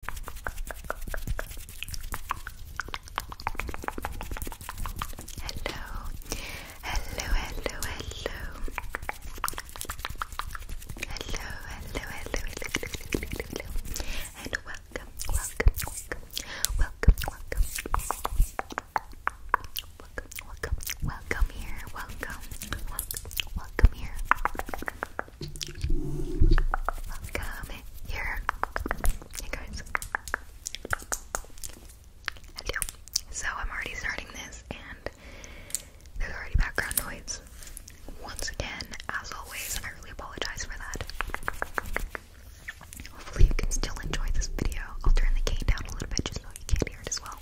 Hello, hello, hello, hello. Hello, hello, hello, and welcome, welcome, welcome, welcome, welcome, welcome, welcome here, welcome, welcome, welcome here. Welcome here. Hey guys. Hello. So I'm already starting this and there's already background noise. Once again, as always, I really apologize for that. Hopefully you can still enjoy this video. I'll turn the cane down a little bit just so you can't hear it as well.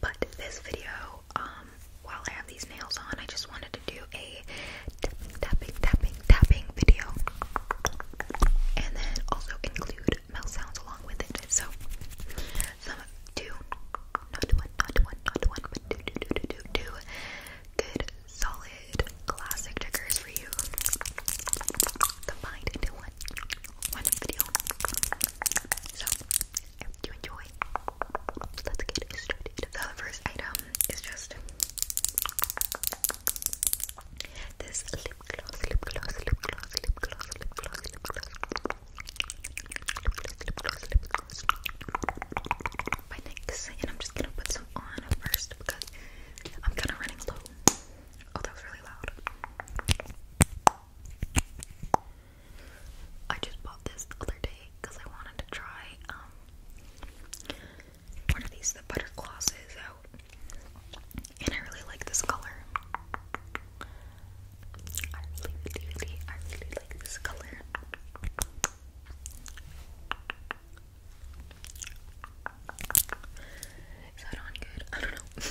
But this video, um, um, while I have these nails on, I just wanted to do a tapping, tapping, tapping, video, and then also include mouth sounds along with it. So, some do not one, not one, not one, do, good, solid, classic triggers for you combined into one, one video. I you enjoy. Let's get started. So the first item is just this lip gloss, lip gloss, lip gloss, lip gloss, lip gloss, lip gloss, lip gloss, lip gloss, by NYX, and I'm just gonna put some on first because I'm kind of running low. Oh, that was really loud. I just bought this the other day because I wanted to try um, one of these butter glosses and I really like this color. I really, really, I really like this color. Is that on good? I don't know.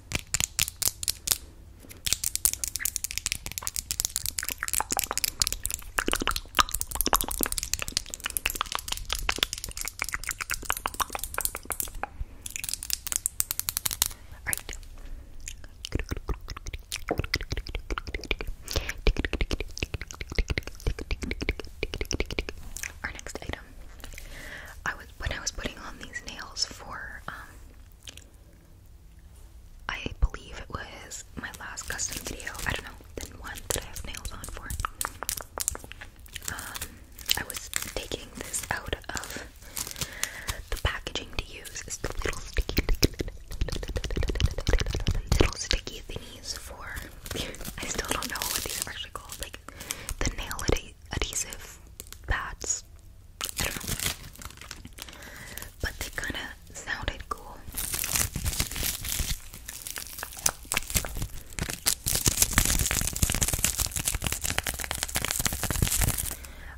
Alright. Our next item. I was when I was putting on these nails for um I believe it was my last custom video. I don't know, the one that I have nails on for. Um, I was taking this out of the packaging to use. It's the little sticky, little sticky thingies for. I still don't know what these are actually called. Like the nail it adhesive pads. But they kind of sounded cool.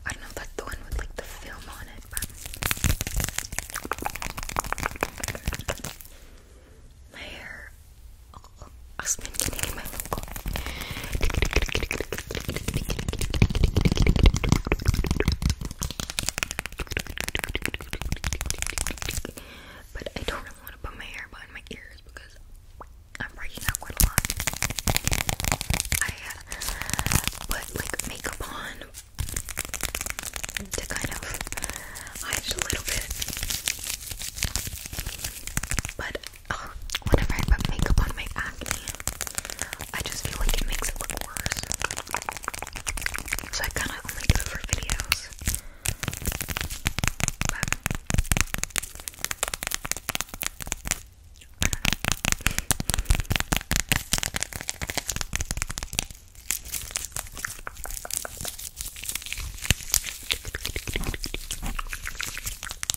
I don't know that's the one with like the film on it, my hair. Oh, I've been my but I don't really want to put my hair behind my ears because I'm breaking out quite a lot. I uh, put like makeup on to kind of hide a little bit. But whenever I put makeup on my acne, I just feel like it makes it look worse. So I kind of only do it for videos.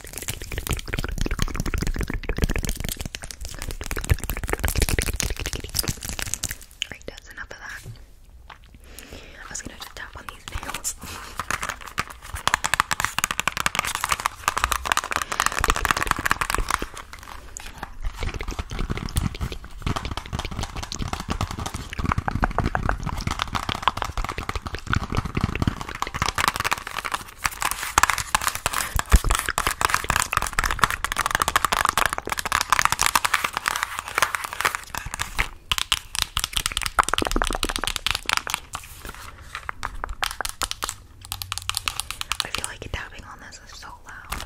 Alright, that's enough of that. I was gonna just tap on these nails. I feel like tapping on this is so loud.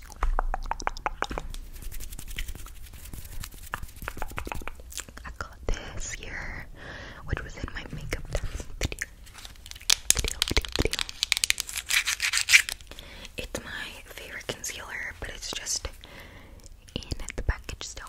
I got this here, which was in my makeup video. It's my favorite concealer, but it's just in the package still.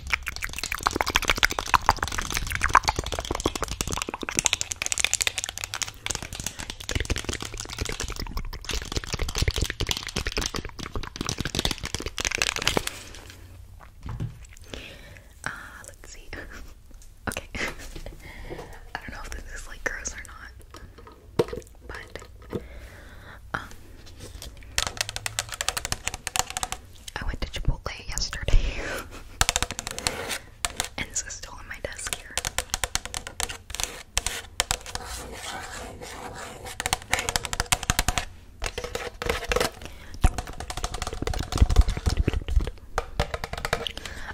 Uh, let's see. okay. I don't know if this is like gross or not. But um I went to Chipotle yesterday. and this is still on my desk here.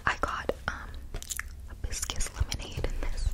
I got um hibiscus lemonade in this.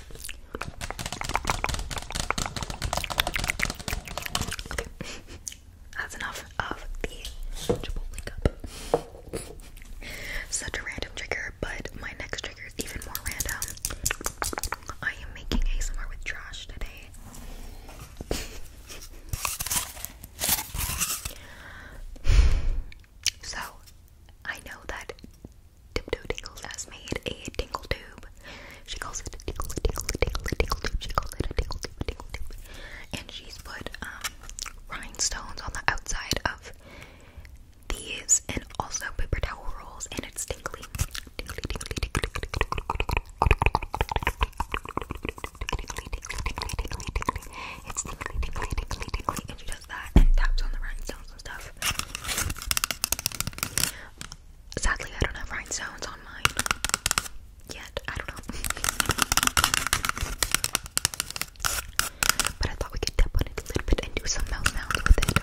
That's enough of the Chipotle cup. Such a random trigger, but my next trigger is even more random. I am making a summer with trash today. so, I know that Tiptoe Tingles has made a tingle tube. She calls it a tingle, tingle, tingle, tingle tube. She calls it a tingle tube, tingle tube. And she's put rhinestones on the outside of these and also paper towel rolls, and it's tingly. Tingly, tingly, tingly, tingly, tingly, tingly, tingly, tingly. It's tingly, tingly, tingly, tingly, and she does that and taps on the rhinestones. Sadly, I don't have rhinestones on mine yet. I don't know. but I thought we could tap on a little bit and do some mouth sounds with it.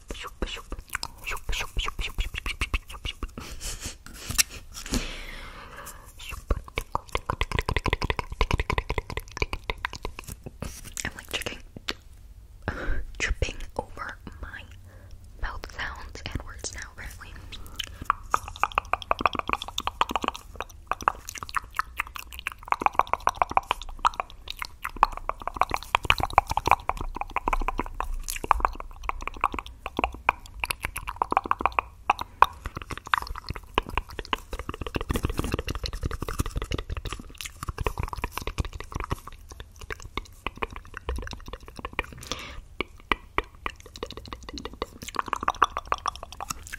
I'm like tricking, tripping over my mouth sounds and words now, apparently.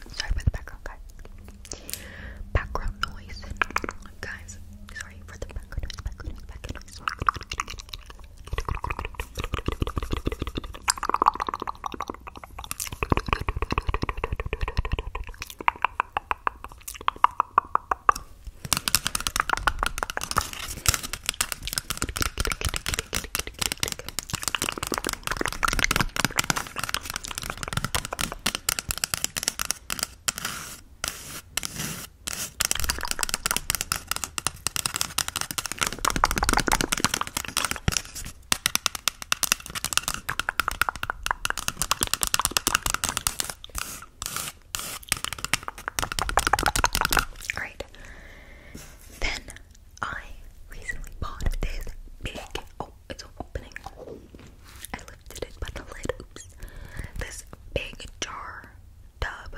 Sorry for the background, guys. Background noise, guys sorry for the background noise, background noise, background noise. Alright. Then I recently bought this big oh, it's opening lifted it by the lid. Oops. This big jar, tub,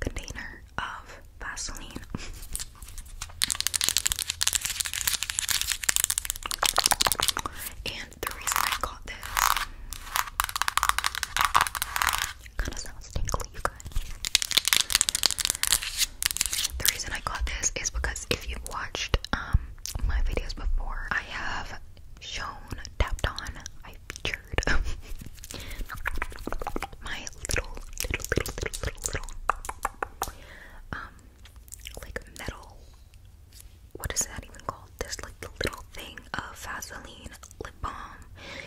container of Vaseline. and the reason I got this kind of sounds tingly, you guys. The reason I got this is because if you've watched um my videos before, I have shown, tapped on, I featured my little, little, little, little, little, um, like metal, what is that even called? This like the little thing of Vaseline lip balm.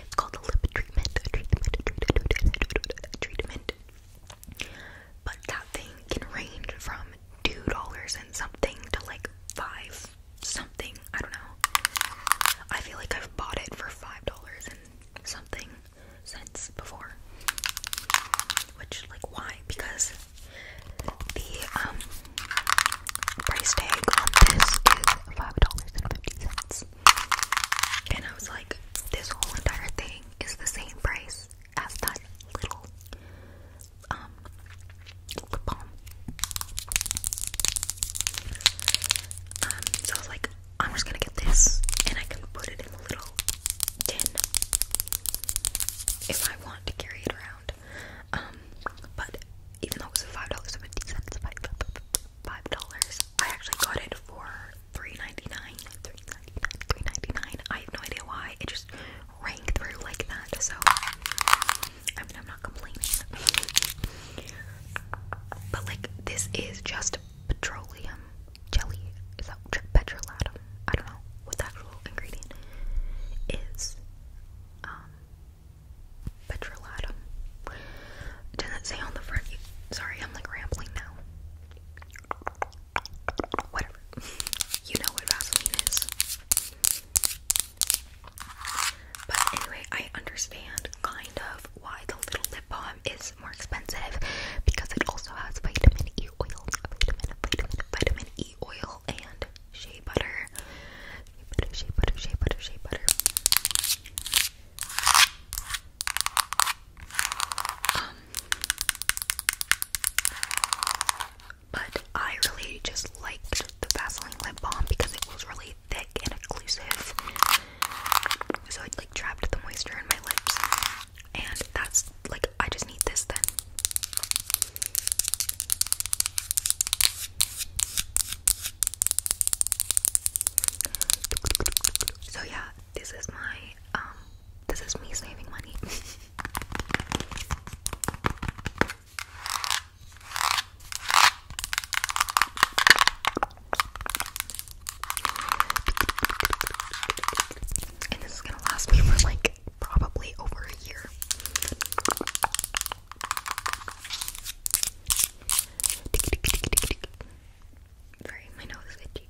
It's called the lip treatment. But that thing can range from two dollars and something to like five something. I don't know. I feel like I've bought it for five dollars and something cents before. Which, like, why? Because the um price tag on this is five dollars and fifty cents. And I was like, this whole entire thing is the same price as that little um lip balm. Um, so I was like, I'm just gonna get this and I can put it in a little tin if I want to carry it around. Um, but even though it was $5.50, five dollars, I actually got it for $3.99, I have no idea why, it just rang through like that, so I mean, I'm not complaining. But like, this is just petroleum jelly. Is that petrolatum? I don't know what actual ingredient is. Um, petrolatum. Doesn't say on the front. Sorry, I'm like rambling now. Whatever. You know what Vaseline is. But anyway, I understand kind of why the little lip balm is more expensive because it also has vitamin E oil, vitamin, E oil, and shea butter. Shea butter, shea butter, shea butter, um, but I really just liked the Vaseline lip balm because it was really thick and occlusive. So it like trapped the moisture in my lips. And that's like, I just need this then. So yeah, this is my um this is me saving money. And this is gonna last me for like probably over a year. Sorry, my nose is itchy.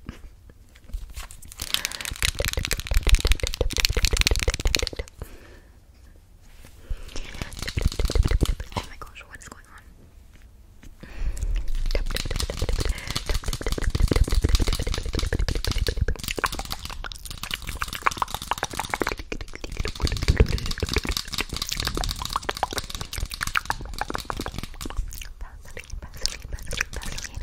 Oh my gosh, what is going on? Vaseline, Vaseline, Vaseline, Vaseline.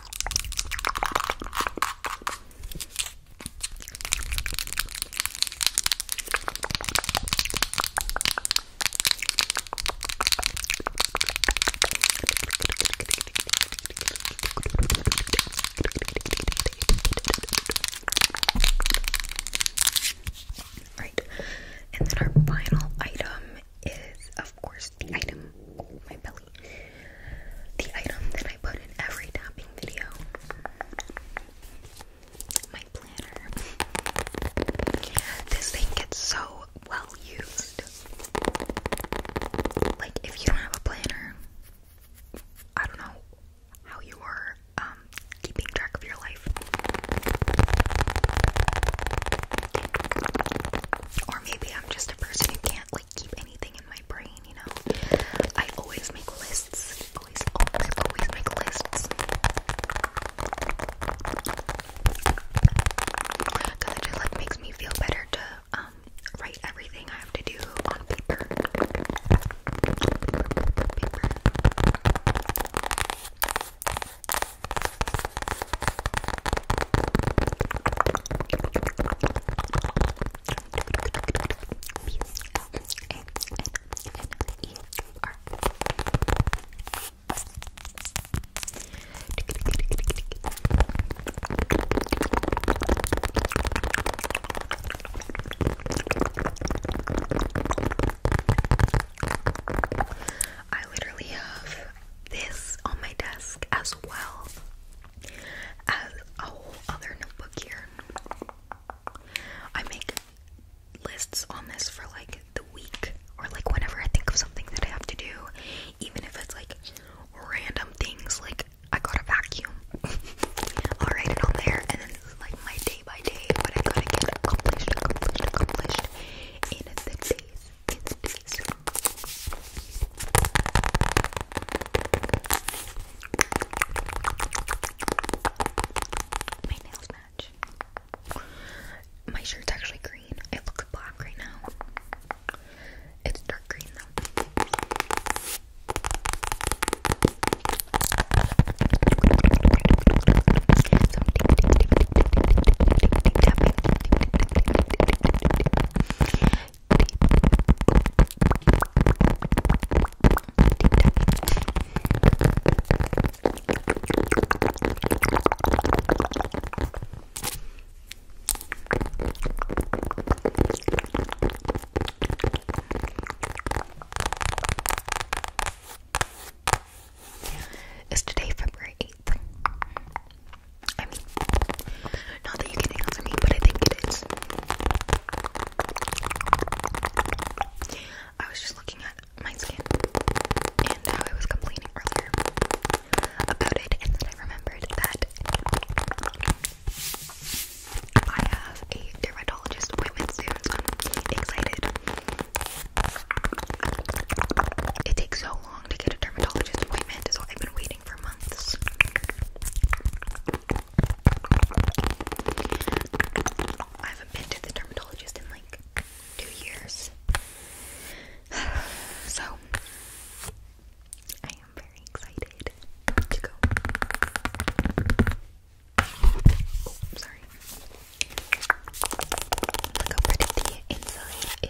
Right, and then our final item is, of course, the item, my belly, the item that I put in every tapping video, my planner. This thing gets so well used. Like, if you don't have a planner, I don't know how you are um, keeping track of your life. Or maybe I'm just a person who can't like keep anything in my brain, you know. I always make lists. Always, always, always make lists. Cause it just like makes me feel better to um, write everything I have to do on Paper. I literally have this on my desk as as well as a whole other notebook here. I make lists on this for like the week or like whenever I think of something that I have to do, even if it's like random things like I got a vacuum. I'll write it on there and then like my day by day what I gotta get accomplished, accomplished, accomplished in the days Kids, please. My nails match. My shirt's actually green. It looks black right now. It's dark green though. Some deep, deep, deep, is today February 8th? I mean, not that you can answer me, but I think it is. I was just looking at my skin and how I was complaining earlier about it, and then I remembered that I have a dermatologist appointment soon, so I'm excited. It takes so long to get a dermatologist appointment, so I've been waiting for months. I haven't been to the dermatologist in like two years. So, I am very excited to go. Oh, sorry. Look how pretty the inside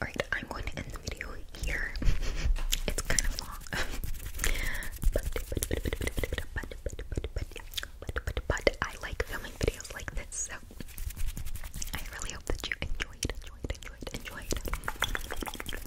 Alright, I'm going to end the video here. it's kind of long. but, I like filming videos like this, so I really hope that you enjoyed, enjoyed, enjoyed, enjoyed.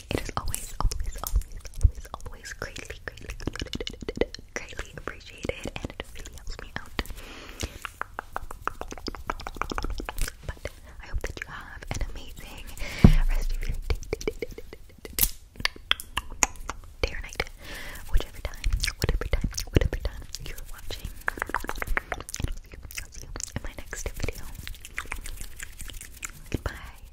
It is always, always, always, always, always greatly, greatly, appreciated, and really helps me out. But I hope that you have an amazing rest of your day. or night, whichever time, whatever time, whatever time you're watching. I'll see you in my next video. Goodbye.